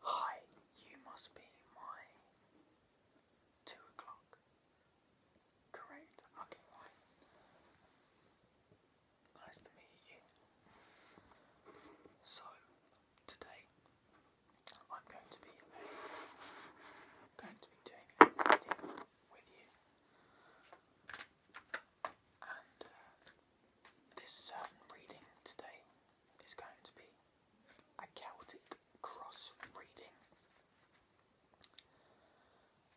Hi, you must be my two o'clock. Correct. Okay, Nice to meet you. So today I'm going to be going to be doing a reading with you, uh, this certain reading today is going to be a Celtic cross reading.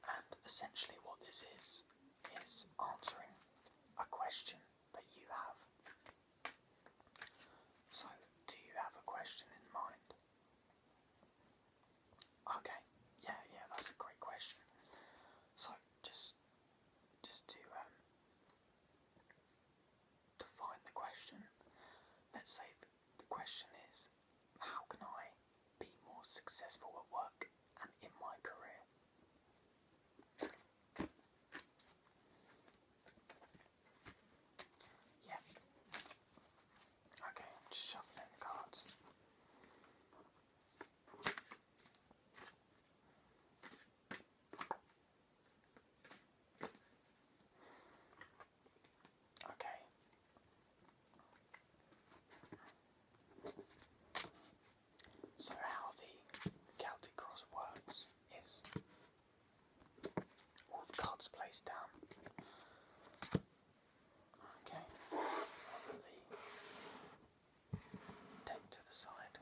And essentially, what this is, is answering a question that you have. So, do you have a question in mind? Okay, yeah, yeah, that's a great question. So, just just to um define the question. Let's say the question is how can I be more successful at work and in my career? Yeah. Okay, shuffling the cards. Okay. So, how the Celtic Cross works is all the cards placed down. Okay. Take to the side.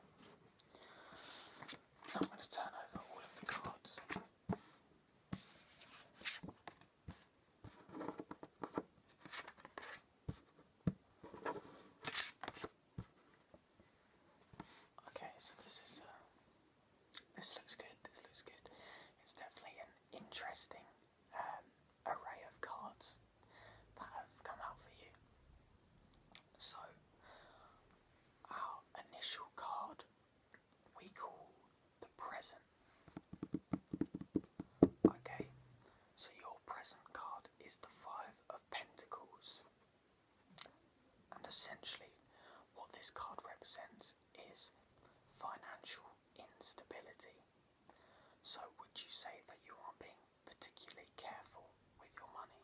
I'm going to turn over all of the cards. Okay, so this is uh, this looks good. This looks good. It's definitely an interesting um, array of cards that have come out for you. So, our initial card we call the present. Okay, so your present card is the Five of Pentacles. And essentially, what this card represents is financial instability. So, would you say that you are being particularly careful with your money.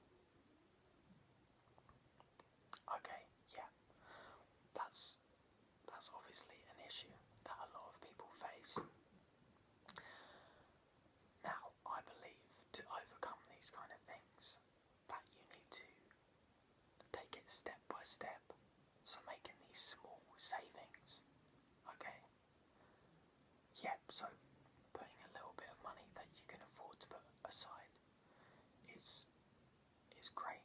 Okay, yeah, that's that's obviously an issue that a lot of people face. Now, I believe to overcome these kind of things, that you need to take it step by step. So making these small savings, okay, Yep. so putting a little bit of money that you can afford to put aside is is great.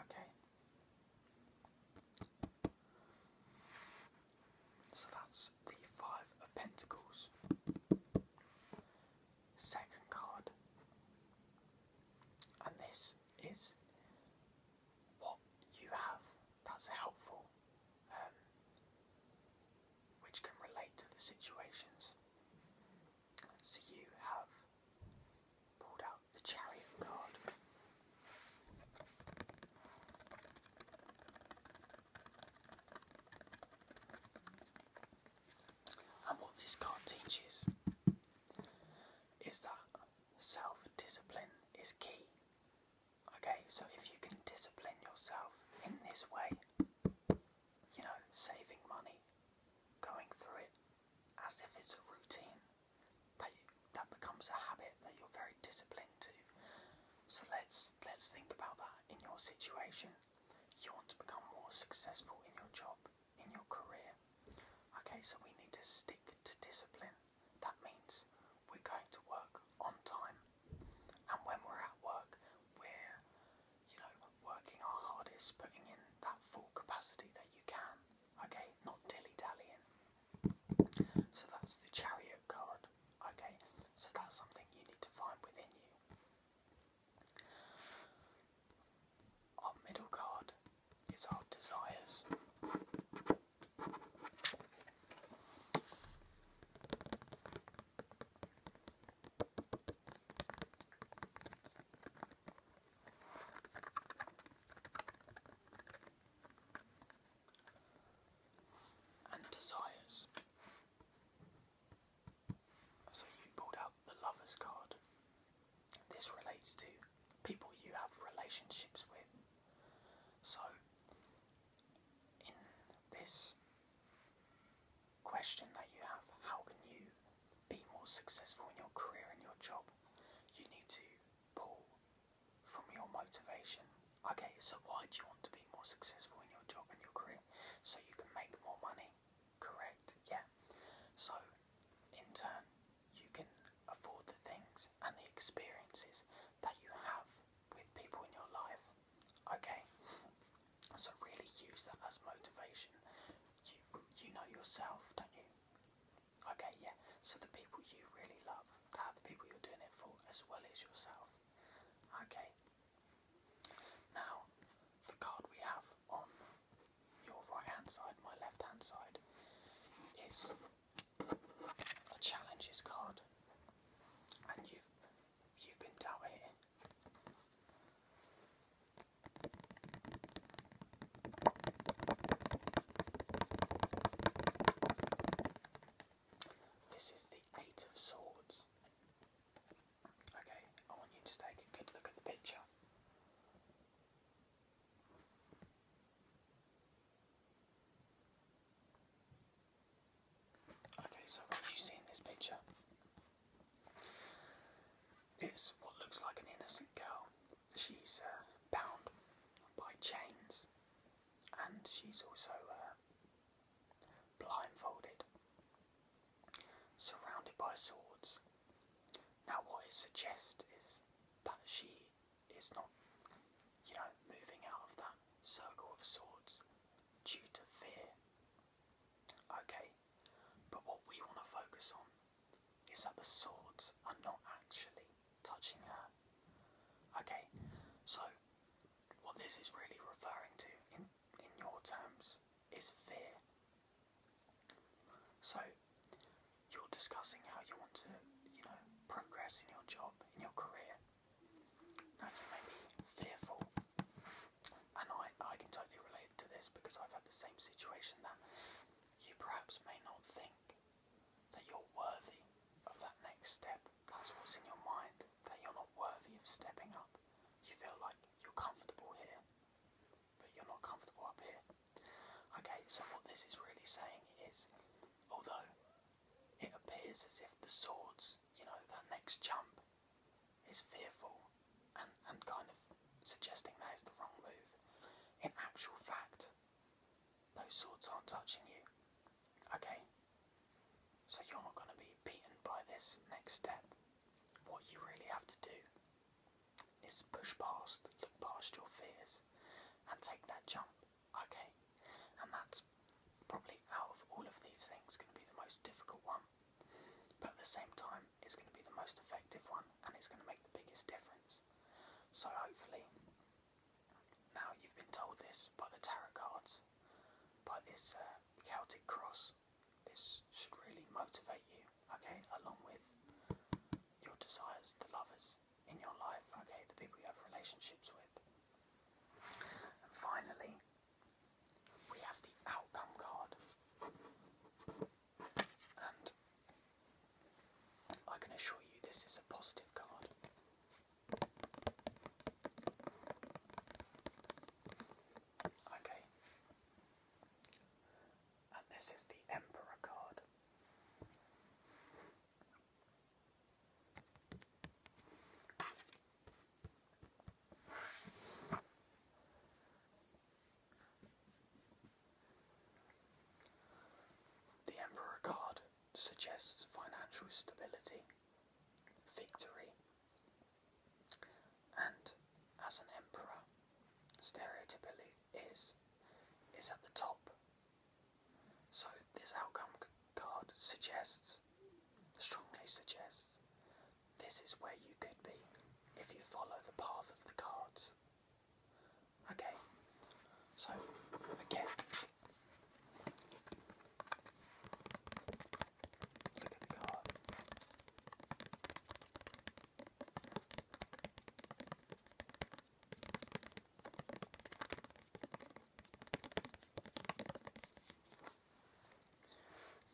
Okay. So that's the five of pentacles. Second card. And this is what you have that's helpful, um, which can relate to the situations. So you have pulled out the chariot card. And what this card teaches is that self discipline is key Okay, so if you can discipline yourself in this way, you know, saving money, going through it as if it's a routine, that that becomes a habit that you're very disciplined to. So let's let's think about that in your situation. You want to become more successful in your job, in your career. Okay, so we need to stick to discipline. That means we're going to work on time. And when we're at work, we're, you know, working our hardest, putting in that full capacity that you can. Okay, not dilly dallying. So that's the chariot card. Okay, so that's something you need to find within you. Our middle card it's our desires. And desires. So you pulled out the lover's card. This relates to people you have relationships with. So, in this question that you have, how can you be more successful in your career and your job? You need to pull from your motivation. Okay, so why do you want to be more successful in your job and your career? So you can make more money. Correct, yeah. So, in turn, you can afford the things and the experiences that you have with people in your life. Okay? So really use that as motivation. You you know yourself, don't you? Okay, yeah. So the people you really love, that the people you're doing it for as well as yourself. Okay. Now the card we have on your right hand side, my left hand side, is a challenges card, and you've you've been dealt here. This is the Eight of Swords. Okay, I want you to take a good look at the picture. Okay, so what you see in this picture is what looks like an innocent girl. She's uh, bound by chains and she's also uh, blindfolded, surrounded by swords. Now, what it suggests is that she is not, you know, moving out of that circle of swords due to fear. Okay, but what we want to focus on is that the swords are not actually touching her. Okay, so what this is really referring to in, in your terms is fear. So, you're discussing how you want to, you know, progress in your job, in your career. Now, you may be fearful, and I, I can totally relate to this because I've had the same situation that you perhaps may not think that you're worthy of that next step. That's what's in your mind, that you're not worthy of stepping up. You feel like you're comfortable here but you're not comfortable up here. Okay, so what this is really saying is, although it appears as if the swords, you know, that next jump is fearful and, and kind of suggesting that is the wrong move, in actual fact, those swords aren't touching you. Okay, so you're not going to be beaten by this next step. What you really have to do is push past, look past your fears, and take that jump. Okay, and that's probably out of all of these things going to be the most difficult one, but at the same time, it's going to be the most effective one, and it's going to make the biggest difference. So hopefully, now you've been told this by the tarot cards, by this uh, Celtic cross, this should really motivate you, okay, along with your desires, the lovers in your life, okay, the people you have relationships with. And finally, we have the outcome card. And I can assure you this is a positive card. Okay, and this is the Emperor card. The Emperor card suggests financial stability, victory, and as an emperor, stereotypically is is at the top. So this outcome card suggests, strongly suggests, this is where you could be if you follow the path of the cards. Okay, so again,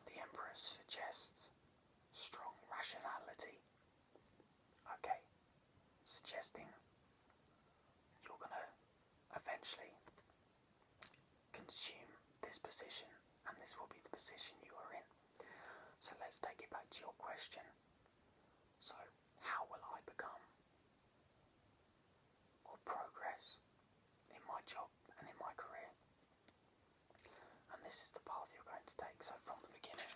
the emperor suggests strong rationality. Okay, suggesting you're gonna eventually consume this position, and this will be the position you are in. So let's take it back to your question. So, how will I become or progress in my job and in my career? And this is the path you're going to take. So, from the beginning,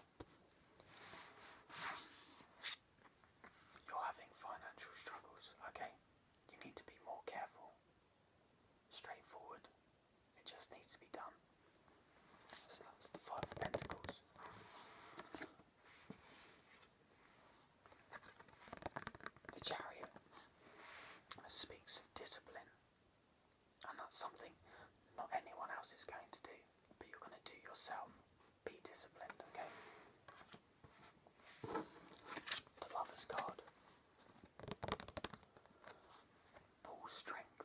you're having financial struggles, okay? You need to be more careful straightforward. It just needs to be done. So that's the Five of Pentacles. The Chariot speaks of discipline, and that's something not anyone else is going to do, but you're going to do yourself. Be disciplined, okay? The Lover's card Pull strength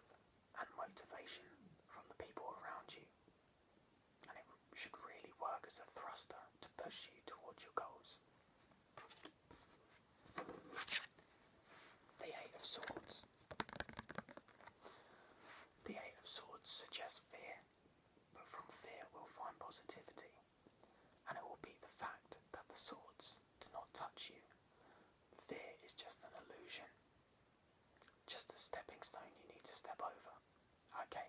and motivation from the people around you, and it should really work as a thruster to push you towards your goals. The Eight of Swords. The Eight of Swords suggests fear, but from fear we'll find positivity and it will be the fact that the swords do not touch you. Fear is just an illusion, just a stepping stone you need to step over. Okay,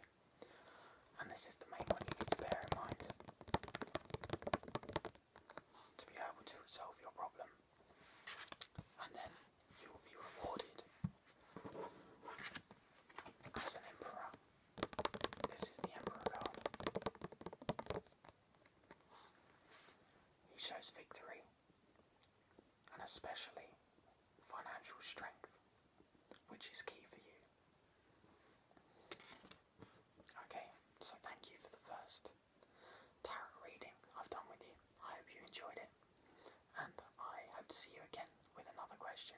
and this is the main one you need to bear in mind to be able to resolve your problem, and then you will be rewarded as an emperor this is the Emperor card. He shows victory and especially financial strength, which is key for you. Okay, so thank you for the first tarot reading I've done with you. I hope you enjoyed it, and I hope to see you again with another question.